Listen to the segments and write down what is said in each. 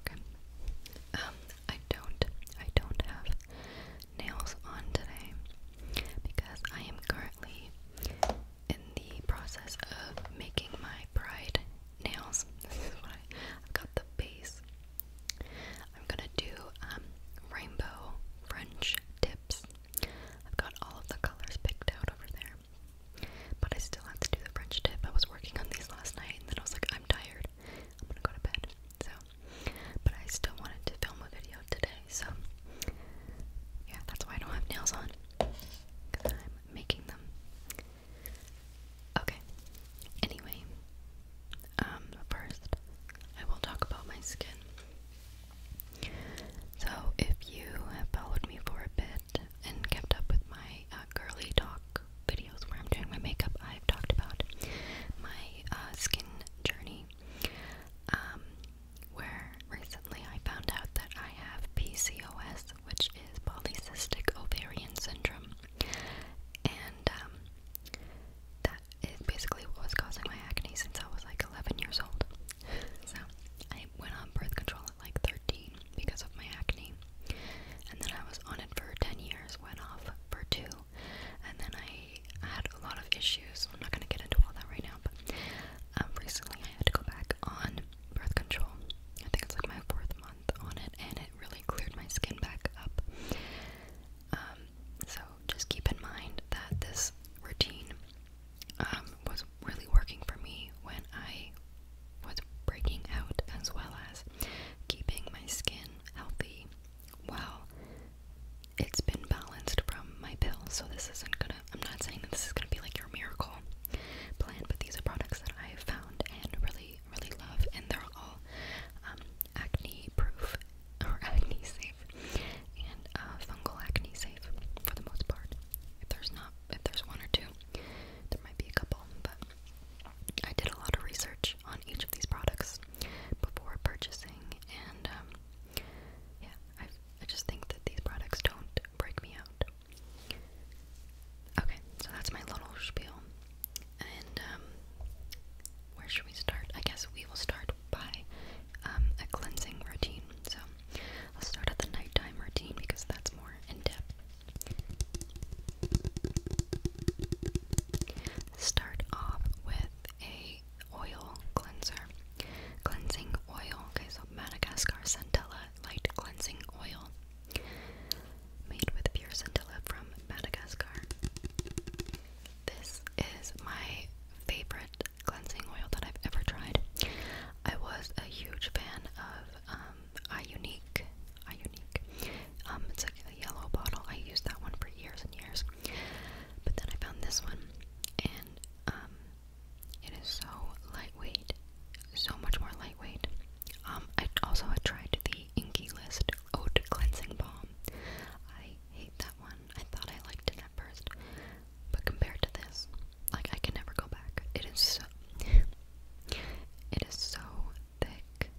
Okay. Um, I don't, I don't have nails on today because I am currently in the process of making my bride nails. This is what I, i got the base. I'm gonna do um, rainbow French tips. I've got all of the colors picked out over there. But I still have to do the French dip. I was working on these last night and then I was like, I'm tired. I'm gonna go to bed. So, but I still wanted to film a video today. So, yeah, that's why I don't have nails on. Because I'm making them. Okay. Anyway, um, first, I will talk about my skin. So, if you have followed me for a bit, and kept up with my uh, girly talk videos where I'm doing my makeup, I've talked about my uh, skin journey. Um, where recently I found out that I have PCOS, which is polycystic ovarian syndrome, and um, that is basically what was causing my acne since I was like 11 years old. So I went on birth control at like 13 because of my acne. And then I was on it for 10 years, went off for two, and then I had a lot of issues. I'm not gonna get into all that right now, but um, recently I had to go back on birth control. I think it's like my fourth month on it, and it really cleared my skin back up. Um, so just keep in mind that this routine um, was really working for me when I was breaking out as well as keeping my skin healthy while it's been balanced from my pill. So this isn't gonna I'm not saying that this is gonna be like your miracle plan, but these are products that I have found and really, really love and they're all um, acne proof or acne safe and uh, fungal acne safe for the most part. If there's not, if there's one or two, there might be a couple, but I did a lot of research on each of these products before purchasing, and um, yeah, I, I just think that these products don't break me out. Okay, so that's my little spiel, and um, where should we start? I guess we will start by um, a cleansing routine. So I'll start at the nighttime routine because that's more in depth. Start off with a oil cleanser. Cleansing oil. Okay, so Madagascar Centella light cleansing oil. Made with pure centella from Madagascar. This is my favorite cleansing oil that I've ever tried. I was a huge fan of um, I Unique. I Unique. Um, it's like a yellow bottle. I used that one for years and years. But then I found this one, and um, it is so lightweight, so much more lightweight. Um, I also had tried the Inky List Oat Cleansing Balm. I hate that one. I thought I liked it first, but compared to this, like I can never go back. It is so, it is so thick.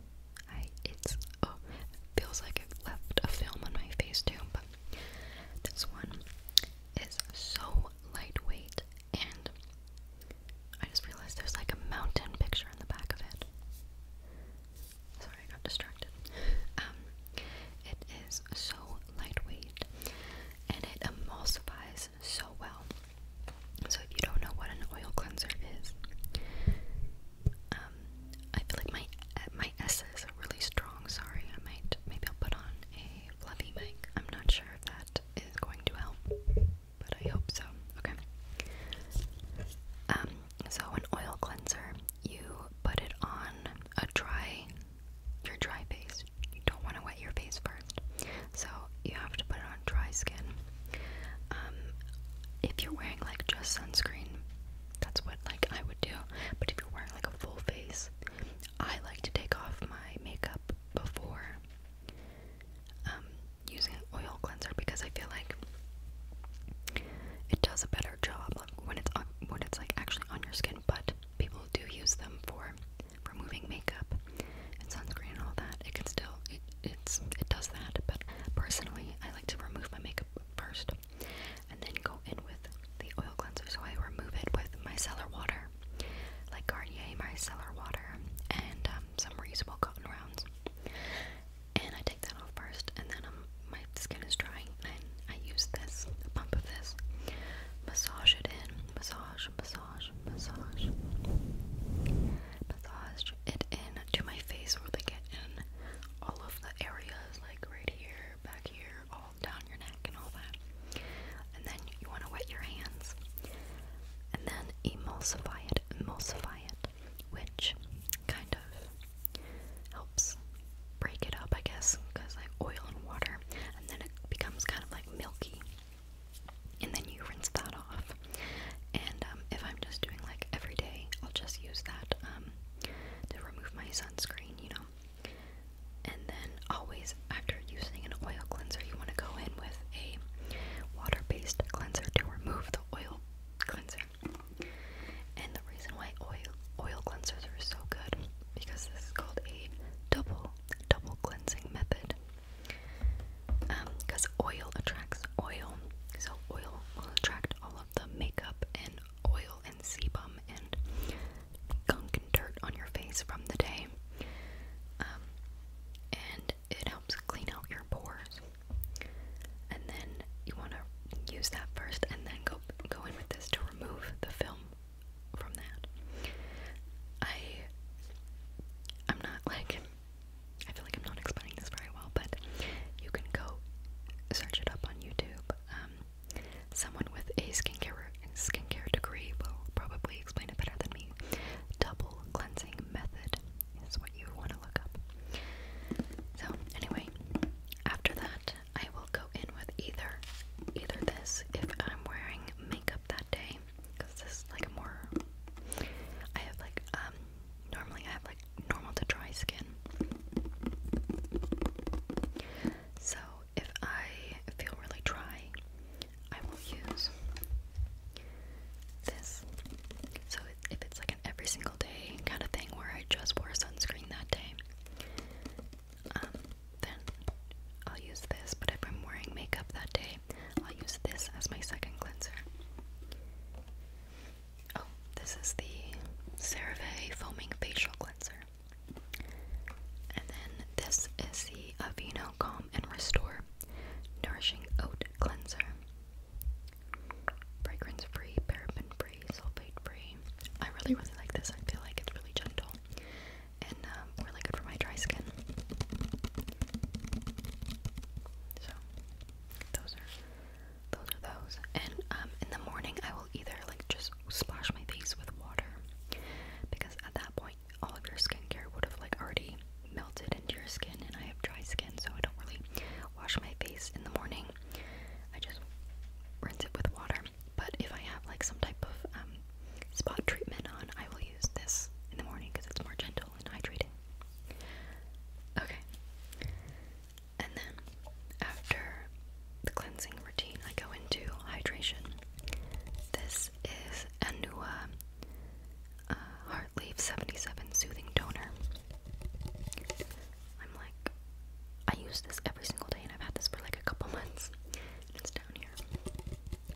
Oh, it feels like it left a film on my face too. But this one is so lightweight, and I just realized there's like a mountain picture in the back of it. Sorry, I got distracted. Um, it is so lightweight and it emulsifies so well. So if you don't know what an oil cleanser is, um, I feel like my my S's are really strong. Sorry, I might maybe I'll put on a fluffy mic. I'm not sure if that is going to help, but I hope so. Okay. Um, so an oil cleanser, you put it on a dry your dry base you don't want to wet your face first. So you have to put it on dry skin. Um, if you're wearing like just sunscreen, that's what like I would do. But if you're wearing like a full face, I like to take off my makeup before um, using an oil cleanser because I feel like it does a better job like, when it's when it's like actually on your skin. But people do use them for removing makeup and sunscreen and all that, it can still it it's it does that. But personally, I like to remove my makeup first and then go in with the oil cleanser. So I remove it with micellar water, like Garnier micellar water, and um, some reasonable cotton rounds. And I take that off first, and then um, my skin is drying, I use this, a pump of this. Massage it in. Massage, massage, massage. Massage it in to my face where they get in all of the areas, like right here, back here, all down your neck and all that. And then you want to wet your hands. And then emulsify it, emulsify it, which kind of helps break it up, I guess, because like oil and water, and then it becomes kind of like milky. And then you rinse that off. And um, if I'm just doing like every day, I'll just use that um, to remove my sunscreen, you know. And then always after using an oil cleanser, you want to go in with a water-based cleanser to remove the oil cleanser. And the reason why oil oil cleansers are so good because this is called a double double cleansing method. Because um, oil attracts oil, so oil will attract all of the makeup and oil and sebum and gunk and dirt on your face from the day, um, and it helps clean out your pores. And then you want to use that first, and then go go in with this to remove the film from that. I am not like I feel like I'm not explaining this very well, but you can go search it up on YouTube. Um, someone with a skincare skincare degree will probably explain it better than me. Double cleansing method is what you want to look up. So anyway, after that, I will go in with either either this if I'm wearing makeup that day because this is like a more I have like um normally I have like normal to dry skin so if I feel really dry I will use this so if it's like an every single day kind of thing where I just wore sunscreen that day um, then I'll use this. But if I'm wearing makeup that day, I'll use this as my second cleanser. Oh, this is the CeraVe Foaming Facial Cleanser. And then this is the Aveeno Calm and Restore Nourishing Oat Cleanser. Fragrance free, paraben free, sulfate free. I really, really like this. I feel like it's really gentle and um, really good for my dry skin. So those are those are those. And um, in the morning, I will either like just splash my face with water because at that point, all of your skincare would have like already melted into your skin, and I have dry skin, so I don't really wash my face in the morning. I just rinse it with water. But if I have like some type of um, spot treatment on, I will use this in the morning because it's more gentle and hydrating. Okay. And then after the cleansing routine, I go into hydration. This is Anua uh, Heartleaf 77 Soothing Toner. I'm like I use this every single day, and I've had this for like a couple months. it's down here.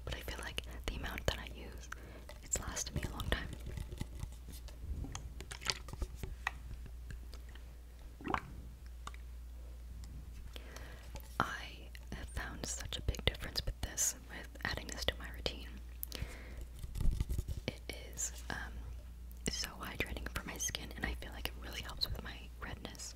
But I feel like the amount that I use, it's lasted me a long time. I have found such a big difference with this, with adding this to my routine. It is um, so hydrating for my skin, and I feel like it really helps with my redness.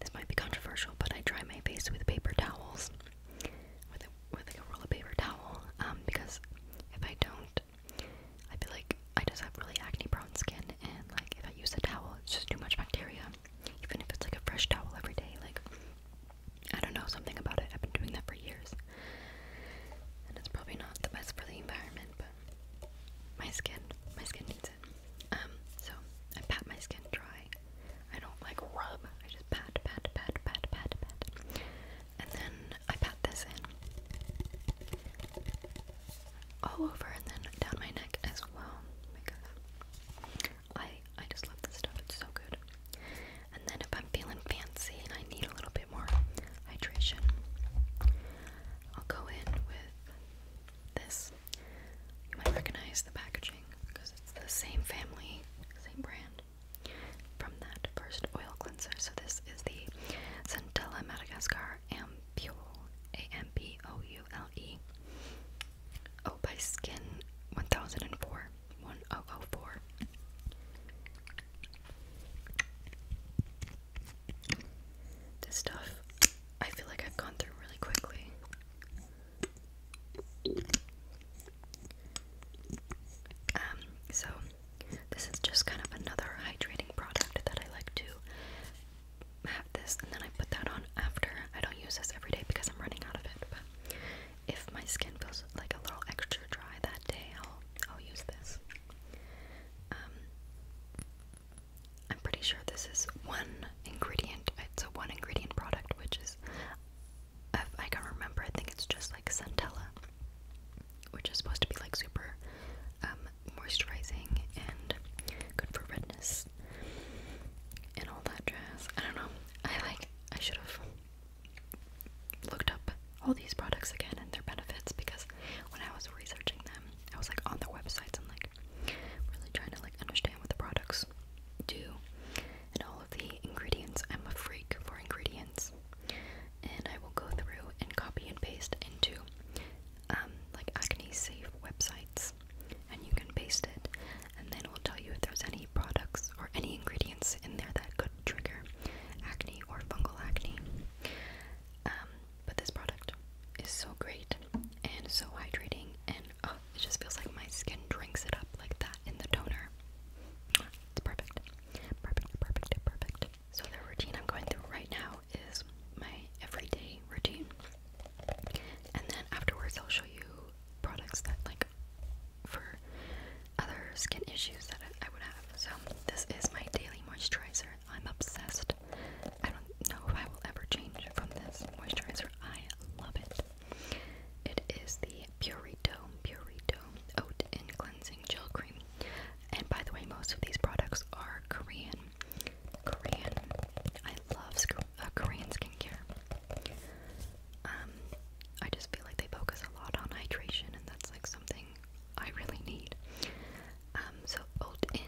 this might be controversial, but I dry my face with paper towels, with with like a roll of paper towel, um, because if I don't, I feel like I just have really acne-prone skin, and like if I use a towel, it's just too much bacteria. Even if it's like a fresh towel every day, like I don't know something about it. I've been doing that for years, and it's probably not the best for the environment, but my skin, my skin needs um, so I pat my skin dry. I don't like rub. I just pat, pat, pat, pat, pat, pat, and then I pat this in all over, and then down my neck as well I I just love this stuff. It's so good. And then if I'm feeling fancy and I need a little bit more hydration, I'll go in with this you might recognize the packaging because it's the same family, same brand from that first oil cleanser. So this is the Centella Madagascar Ampoule, A-M-P-O-U-L-E. Oh, by Skin 1004, 1004. This stuff, I feel like I've gone through really quickly. Um, so this is just kind of another hydrating product that I like to have this and then I put that on after. I don't use this every day because I'm running out of it, but if my skin feels like a little extra dry that day, I'll I'll use this. Um I'm pretty sure this is one ingredient. It's a one ingredient product, which is, if I can remember, I think it's just like Centella, which is supposed to be like super um, moisturizing and good for redness and all that jazz. I don't know. I like. I should have looked up all these products again and their benefits because when I was researching them, I was like on their websites and like really trying to like understand what the products do and all of the ingredients. I'm a freak for ingredients. And I will go through and copy and paste into um, like acne safe websites and you can paste it and then it will tell you if there's any products or any ingredients in there that could trigger acne or fungal acne. Um, but this product is so great and so hydrating, and oh, it just feels like my skin drinks it up like that in the toner. It's perfect. Perfect, perfect, perfect. So, the routine I'm going through right now is my everyday routine. And then afterwards, I'll show you products that, like, for other skin issues that I would have. So, this is my daily moisturizer. I'm obsessed. I don't know if I will ever change from this moisturizer. I love it. It is the Purito Purito Oat and Cleansing Gel Cream. And by the way, most of these products are Korean. Korean. I love uh, Korean skincare. Um, I just feel like they focus a lot on hydration, and that's like something I really need. Um, so Oat in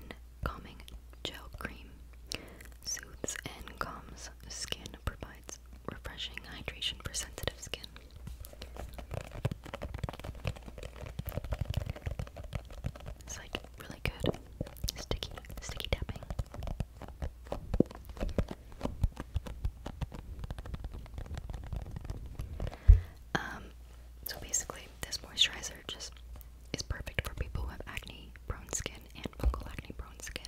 Calming Gel Cream soothes and calms skin, provides refreshing hydration for sensitive skin. It's like really good sticky, sticky tapping. Um, so basically, this moisturizer just is perfect for people who acne prone skin and fungal acne prone skin.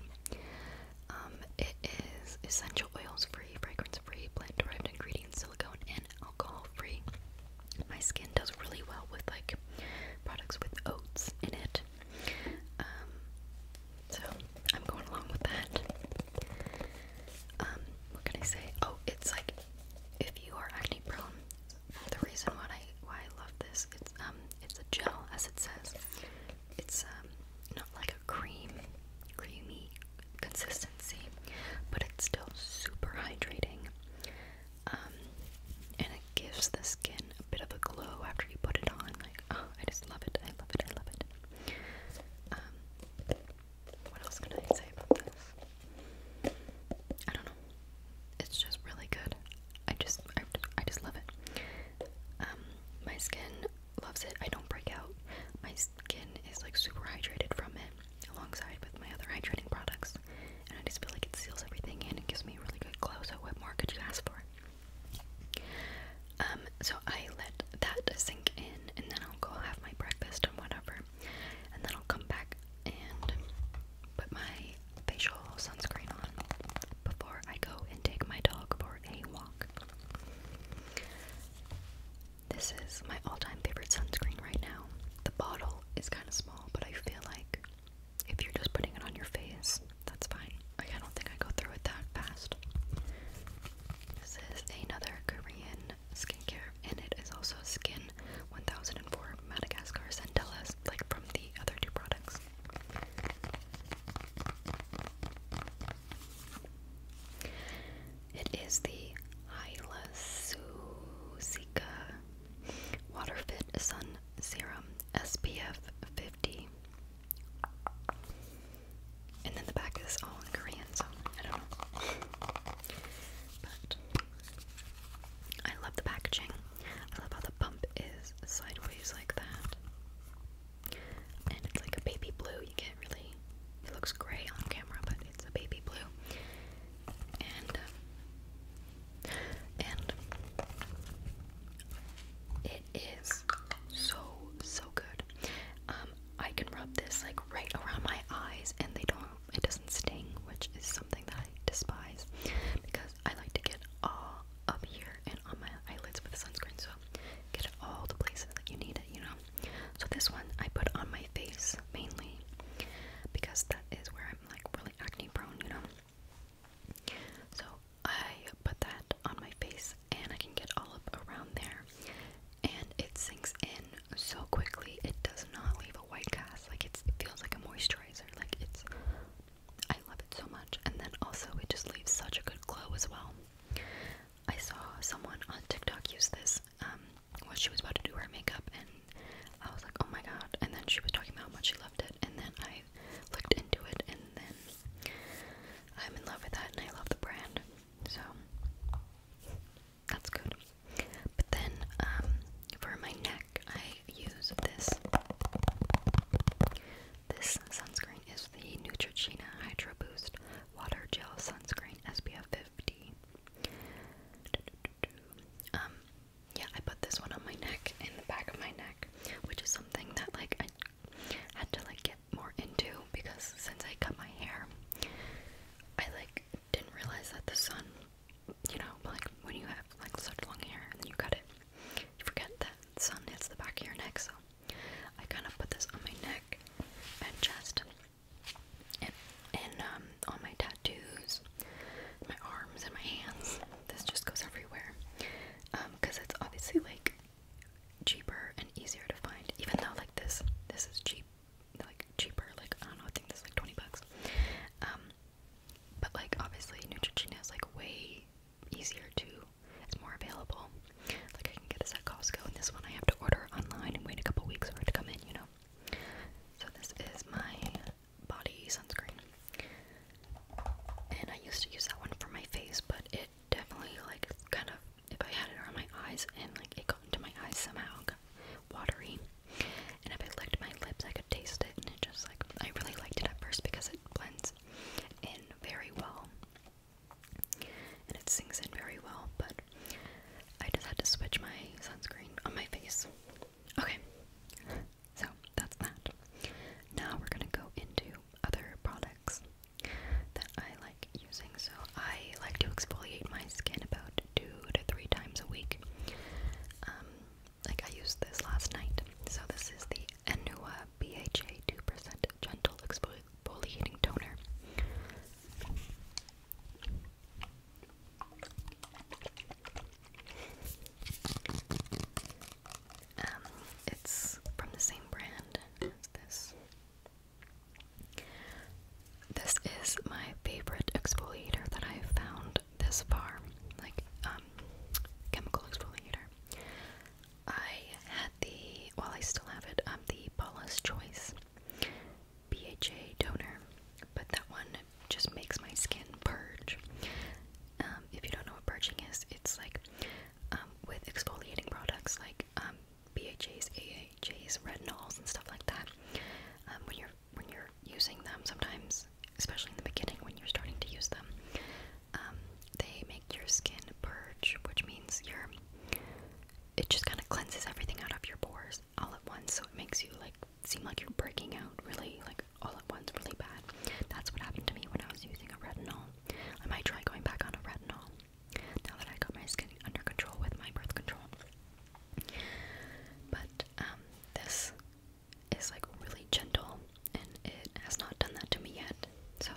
Um, it is essential oils free, fragrance free, plant derived ingredients, silicone, and alcohol free. My skin does really well with like products with oats in it. Um, so I'm going along with that. Um, what can I say? Oh, it's like if you are acne prone, the reason why I why I love this it's um it's a gel as it says. It's um not like a cream creamy consistency, but it's still super hydrating. Um, and it gives the skin a bit of a glow after you put it on. Like oh, I just love it. I love it. I love it. Um, what else can I say about this? I don't know. It's just really good. I just, I, just love it. Um, my skin loves it. I don't break out. My skin is like super hydrated from it, alongside with my other hydrating products. And I just feel like it seals everything in It gives me a really good glow. So what more could you ask for? Um, so I let that sink in, and then I'll go have my breakfast and whatever and then I'll come back and put my facial sunscreen on before I go and take my dog for a walk. This is my all-time favorite sunscreen right now. The bottle is kind of small, but I feel like if you're just putting it on your face, that's fine. I don't think I go through it that fast. This is another Korean skincare, and it is also Skin 1004 Madagascar Centellas, like from the other two products. It is the Hyla Susica Waterfit Sun Serum SPF 50. And then the back is all in Korean, so I don't know. But I love the packaging. I love how the pump is sideways like that. And it's like a baby blue. You can't really. It looks gray on camera, but it's a baby blue. And. Uh, and. It is so, so good. Um, I can rub this like right around my eyes and they don't it doesn't sting, which is something that I despise because I like to get all up here and on my eyelids with sunscreen, so get all the places that you need it, you know. So this one I put on my face mainly because that is where I'm like really acne prone, you know. So I put that on my face and I can get all up around there and it sinks in so quickly. It does not leave a white cast. Like it feels like a moisturizer. Like it's, I love it so much. And then also it just leaves such a good glow as well. I saw someone on TikTok use this um, while she was about to do her makeup, and I was like, oh my god. And then she was talking about how much she loved it, and then I looked into it, and then I'm in love with that, and I love the brand. So, that's good. But then um, for my neck, I use this. This sunscreen is the Neutrogena Hydro Boost Water Gel Sunscreen SPF 50. Um, yeah, I put this one on my neck, in the back of my neck, which is something that like I had to like get more into because since I cut my hair, I like didn't realize that the sun you know, like when you have like such long hair and then you cut it, you forget that sun hits the back of your neck. So I kind of put this on my neck and chest, and um, on my tattoos, my arms and my hands. This just goes everywhere, because um, it's obviously like cheaper and easier to find. Even though like this, this is cheap like cheaper, like I don't know, I think this is like 20 bucks. Um, but like obviously Neutrogena is like way easier to, it's more available. Like I can get this at Costco and this one I have to order online and wait a couple weeks for it to come in, you know. So this is my body sunscreen. And I used to use that one for my face, but it definitely like kind of if I had it around my eyes and like it got into my eyes somehow, watery. And if I licked my lips, I could taste it, and it just like I really liked it at first because it blends in very well, and it sinks in very well. But I just had to switch my sunscreen on my face. Okay, so that's that. Now we're gonna go into other products that I like using so I like to exfoliate my skin about two to three times a week. Um, like I used this last night. So this is the Anua BHA 2% Gentle Exfoliating Toner. Um, it's from the same brand as this. This is my favorite exfoliator that I've found this far, like um, chemical exfoliator. I had the, well, I still have it, I um, the Paula's Choice BHA toner, but that one just makes my skin purge. Um, if you don't know what purging is, it's like um, with exfoliating products like um, BHAs, AHAs, retinols, and stuff like that. Um, when you're when you're using them, sometimes, especially in the beginning, when you're starting to use them, um, they make your skin purge, which means your it just kind of cleanses everything out of your pores all at once, so it makes you like seem like you're breaking out really like all at once, really bad. That's what happened to me when I was using a retinol. I might try going back on a retinol now that I got my skin under control with my birth control. But um, this is like really gentle and it has not done that to me yet, so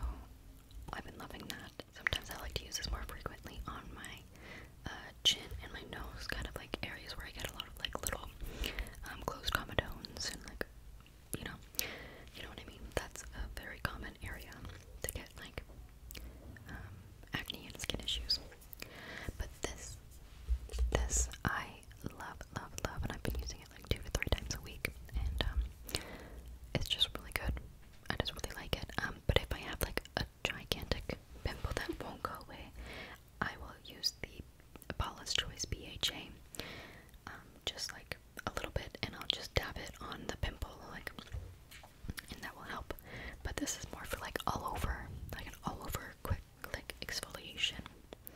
I've been loving that. Sometimes I like to use this more frequently on my uh, chin and my nose, kind of like areas where I get a lot of like little um, closed comedones and like you know, you know what I mean. That's a very common area to get like um, acne and skin issues. But this, this I love, love, love, and I've been using it like two to three times a week, and um, it's just really good. I just really like it. Um, but if I have like a gigantic pimple that won't go away, I will use the Paula's Choice BHA, um, just like a little bit, and I'll just dab it on the pimple, like and that will help. But this is more for like all over, like an all over quick like exfoliation.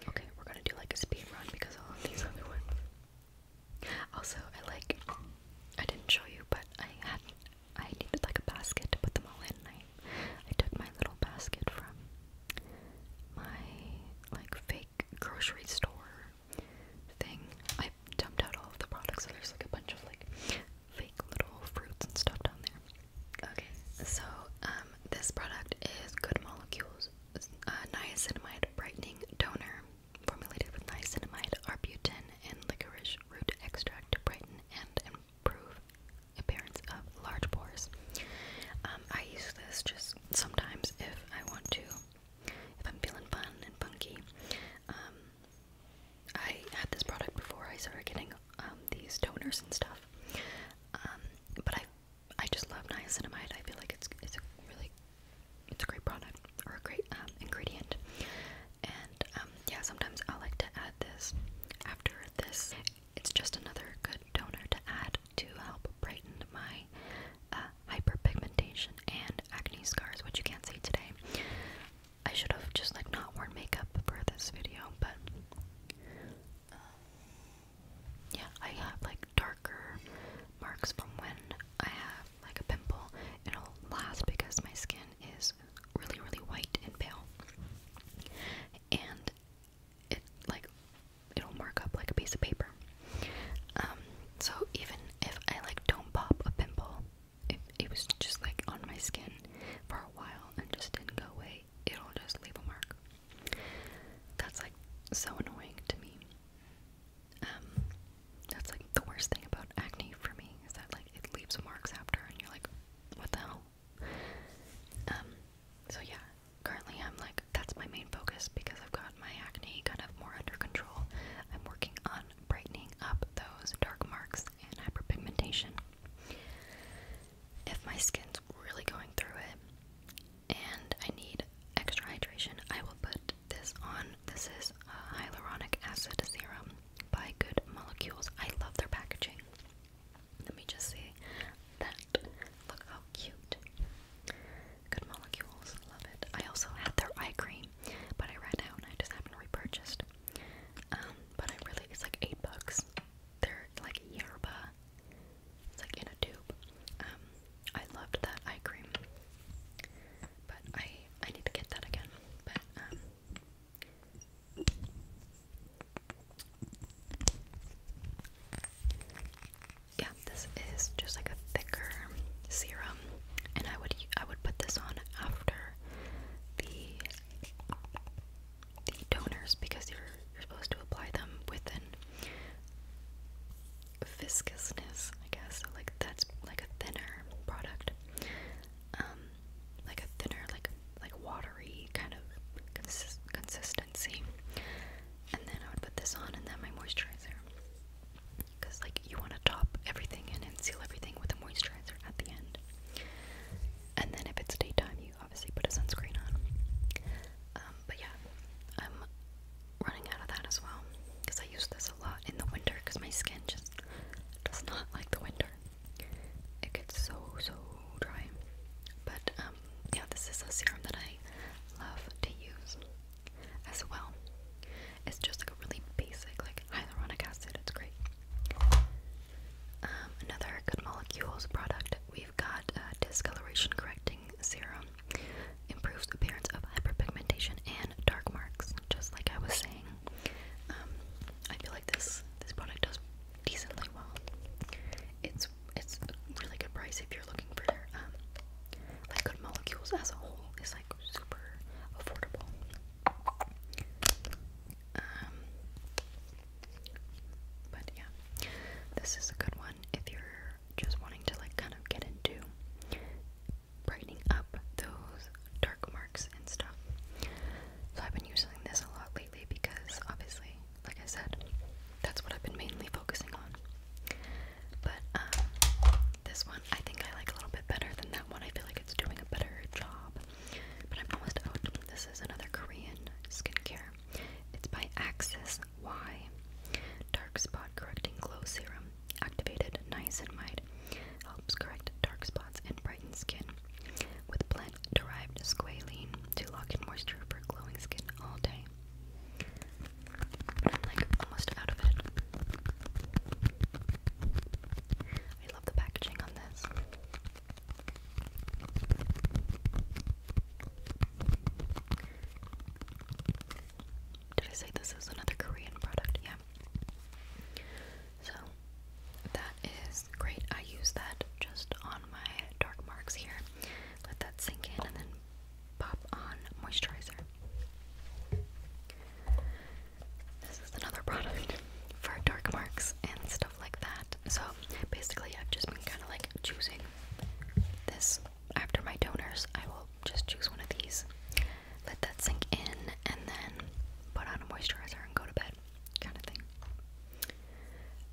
Okay, we're gonna do like a speed run because all of these other ones. Also, I like I didn't show you, but I had I needed like a basket to put them all in. I took my little basket from my like fake grocery store thing. I dumped out all of the products, so there's like a bunch of like fake little fruits and stuff down there. Okay, so um, this product is Good Molecules uh, Niacinamide Brightening Toner, formulated with niacinamide, arbutin, and licorice root extract to brighten and improve appearance of large pores. Um, I use this just sometimes if I want to, if I'm feeling fun and funky. Um, I had this product before I started getting um, these toners and stuff. Um, but I, I just love niacinamide. I feel like it's it's a really it's a great product or a great um, ingredient. And yeah, sometimes I like to add this after this. It's just another good toner to add to help brighten my uh, hyperpigmentation and acne scars, which you can't see today. I should have just like not worn makeup for this video, but uh, yeah, I have like darker marks from when I have like a pimple. It'll last because my skin is really, really white and pale, and it like it'll mark up like a piece of paper. Um, so even if I like don't pop a pimple it, it was just like on my skin for a while and just didn't go away, it'll just leave a mark. That's like so annoying to me. Um, that's like the worst thing about acne for me is that like it leaves marks after, and you're like, what the hell? Um, so yeah, currently I'm like that's my main focus because I've got my acne kind of more under control. I'm working on brightening up those dark marks and hyperpigmentation. If my skin's really going through it and I need extra hydration, I will put this on. This is a hyaluronic acid serum by Good Molecules. I love their packaging. Let me just see that. Look how cute. Good Molecules, love it. I also had their eye cream, but I ran out and I just haven't repurchased. Um, but I really it's like eight bucks. They're like yerba. It's like in a tube. Um, I loved that eye cream. But I I need to get that again. But um yeah, this is just like a thicker serum and I would I would put this on after the the toners because you're you're supposed to apply them with within viscousness, I guess. like that's like a thinner product, um, like a thinner like like watery kind of consistency. And then I would put this on, and then my moisturizer because like you want to top everything in and seal everything with a moisturizer at the end. And then if it's daytime, you obviously put a sunscreen on. Um, but yeah, I'm running out of that as well because I use this a lot in the winter because my skin just does not like the winter. It gets so so dry. But um, yeah, this is a serum that I love to use as well. It's just like a really basic like hyaluronic acid. It's great. Um, another Good Molecules product. We've got uh, discoloration correcting serum. Improves appearance of hyperpigmentation and dark marks. Just like I was saying, um, I feel like this this product does decently well. It's it's really good price if you're looking for um, like Good Molecules as a whole. It's like super affordable. Um, but yeah, this is a good one if you're just wanting to like kind of get into brightening up those dark marks and stuff. So I've been using this a lot lately because obviously, like I said, that's what I've been mainly focusing on. But um, this one I think I like a little bit better than that. I feel like it's doing a better job. But I'm almost out. This is another Korean skincare. It's by Axis Y. Dark Spot Correcting Glow Serum. Activated niacinamide. Helps correct dark spots and brighten skin. With plant derived squalene to lock in moisture for glowing skin all day. I'm like almost out of it. I love the packaging on this. Did I say this is another Korean product? Yeah. So that is great. I use that just on my dark marks here. Let that sink in and then pop on moisturizer. This is another product for dark marks and stuff like that. So basically, I've just been kind of like choosing this after my donors. I will just choose one of these, let that sink in, and then put on a moisturizer and go to bed, kind of thing.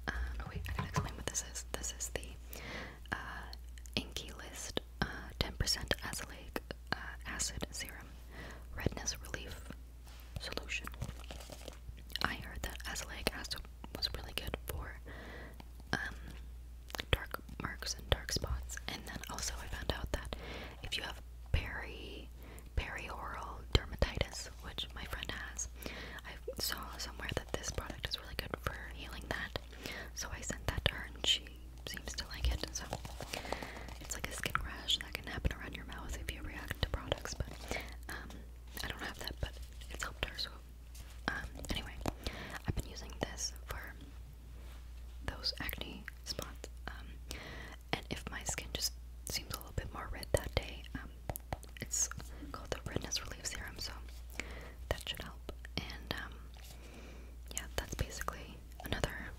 oh wait, I gotta explain what this is. This is the uh, Inky List 10% uh, azelaic uh, acid serum redness relief solution. I heard that azelaic acid was really good for um, dark marks and dark spots, and then also I found out that if you have peri peri oral dermatitis, which my friend has, I saw somewhere that this product is really good for healing that. So I sent that to her, and she seems to like it. So it's like a skin rash that can happen around your mouth if you react to products. But um, I don't have that, but it's helped her. So um, anyway, I've been using this for those acne spots. Um, and if my skin just seems a little bit more red that day, it's called the redness relief serum. So that should help. And yeah, that's basically another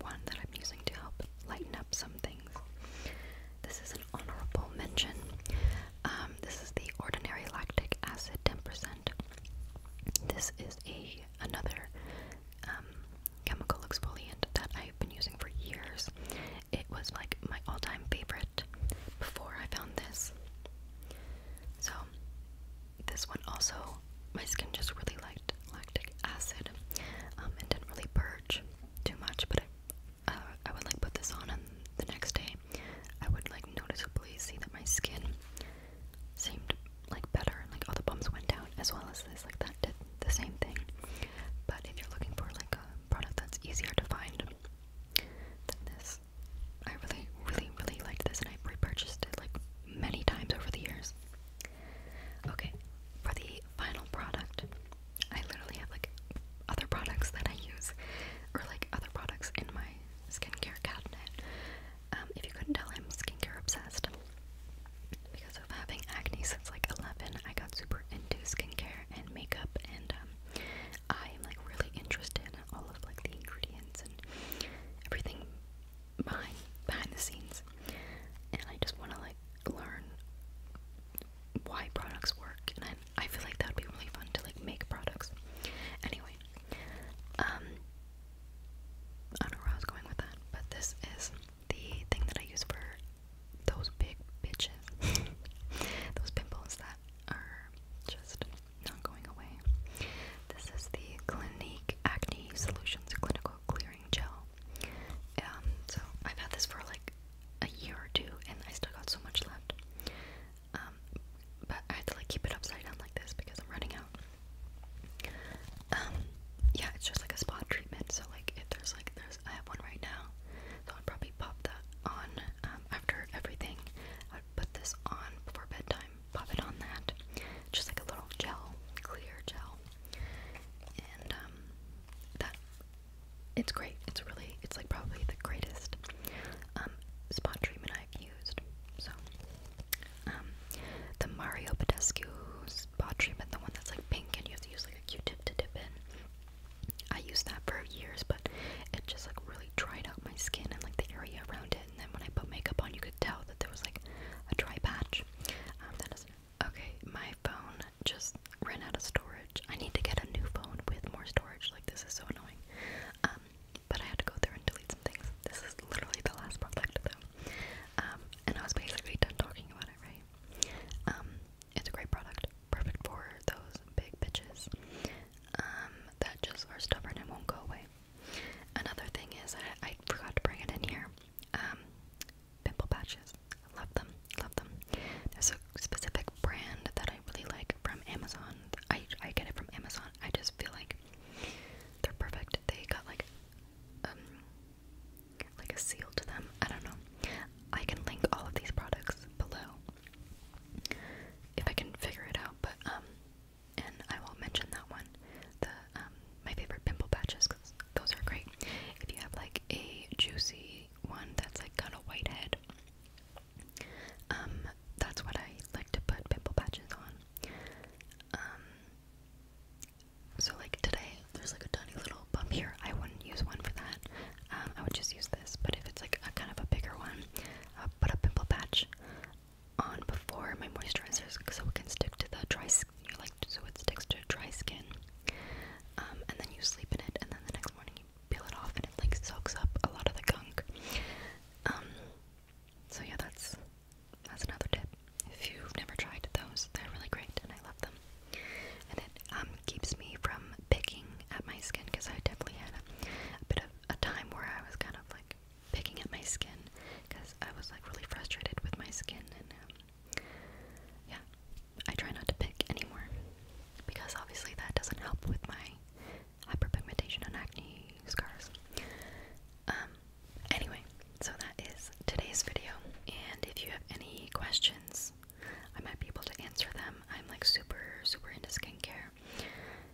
one that I'm using to help lighten up some things. This is an honorable mention. Um, this is the ordinary lactic acid 10%. This is a another um, chemical exfoliant that I've been using for years. It was like my all-time favorite before I found this. So this one also, my skin just really liked lactic acid um, and didn't really purge too much, but uh, I, would like put this on and the next day I would like noticeably see that my skin seemed like better, and like all the bumps went down as well as this, like that did the same thing. But if you're looking for like a product that's easier to find than this, I really, really, really liked this and i repurchased it like many times over the years. Okay, for the final product, I literally have like other products that I use, or like other products in my skincare cabinet. Um, if you couldn't tell, I'm skincare obsessed. Because of having acne since like 11, I got super into skincare and makeup, and um, I am like really interested in all of like the ingredients and everything behind behind the scenes, and I just want to like learn why products work, and I I feel like that'd be really fun to like make products. Anyway, um, I don't know where I was going with that, but this is the thing that I use for those big bitches, those pimples that are just not going away. This is the Clinique Acne Solutions Clinical Clearing Gel. Um, so I've had this for like a year or two, and I still got so much left. Um, but I had to like keep it upside down like this because I'm running out. Um, yeah, it's just like a spot treatment. So like if there's like there's I have one right now, so I'd probably pop that on after everything. i put this on before bedtime pop it on that. Just like a little gel, clear gel. And um that it's great. It's really it's like probably the greatest um spot treatment I've used. So um the Mario Badescu spot treatment, the one that's like pink and you have to use like a Q tip to dip in. I used that for years but it just like really dried out my skin and like the area around it and then when I put makeup on, you could tell that there was like a dry patch. Um, okay, my phone just ran out of storage. I need to get a new phone with more storage. Like this is so annoying. Um, but I had to go through and delete some things. This is literally the last product though. Um, and I was basically done talking about it, right? it's a great product, perfect for those big bitches that just are stubborn and won't go away. Another thing is, I, forgot to bring it in here. Um, pimple patches. love them. Love them. There's a specific brand that I really like from Amazon. I I get it from Amazon. I just feel like they're perfect. They got like um like a seal to them. I don't know. I can link all of these products below if I can figure it out. But um, and I will mention that one. The um, my favorite pimple patches because those are great. If you have like a juicy one that's like got a white head, um, that's what I like to put pimple patches on. Um, so like today, there's like a tiny little bump here. I wouldn't use one for that. Um, I would just use this. But if it's like a kind of a bigger one, I'll put a pimple patch on before my moisturizers so it can stick to the dry skin, like so it sticks to dry skin. Um, and then you sleep in it, and then the next morning you peel it off, and it like soaks up a lot of the gunk. Um, so yeah, that's that's another tip. If you've never tried those, they're really great, and I love them. And it um, keeps me from picking at my skin because I definitely had a bit of a time where I was kind of like picking at my skin because I was like really frustrated with my skin and um, yeah, I try not to pick anymore because obviously that doesn't help with my hyperpigmentation and acne scars. Um, anyway, so that is today's video, and if you have any questions, I might be able to answer them. I'm like super, super into skincare,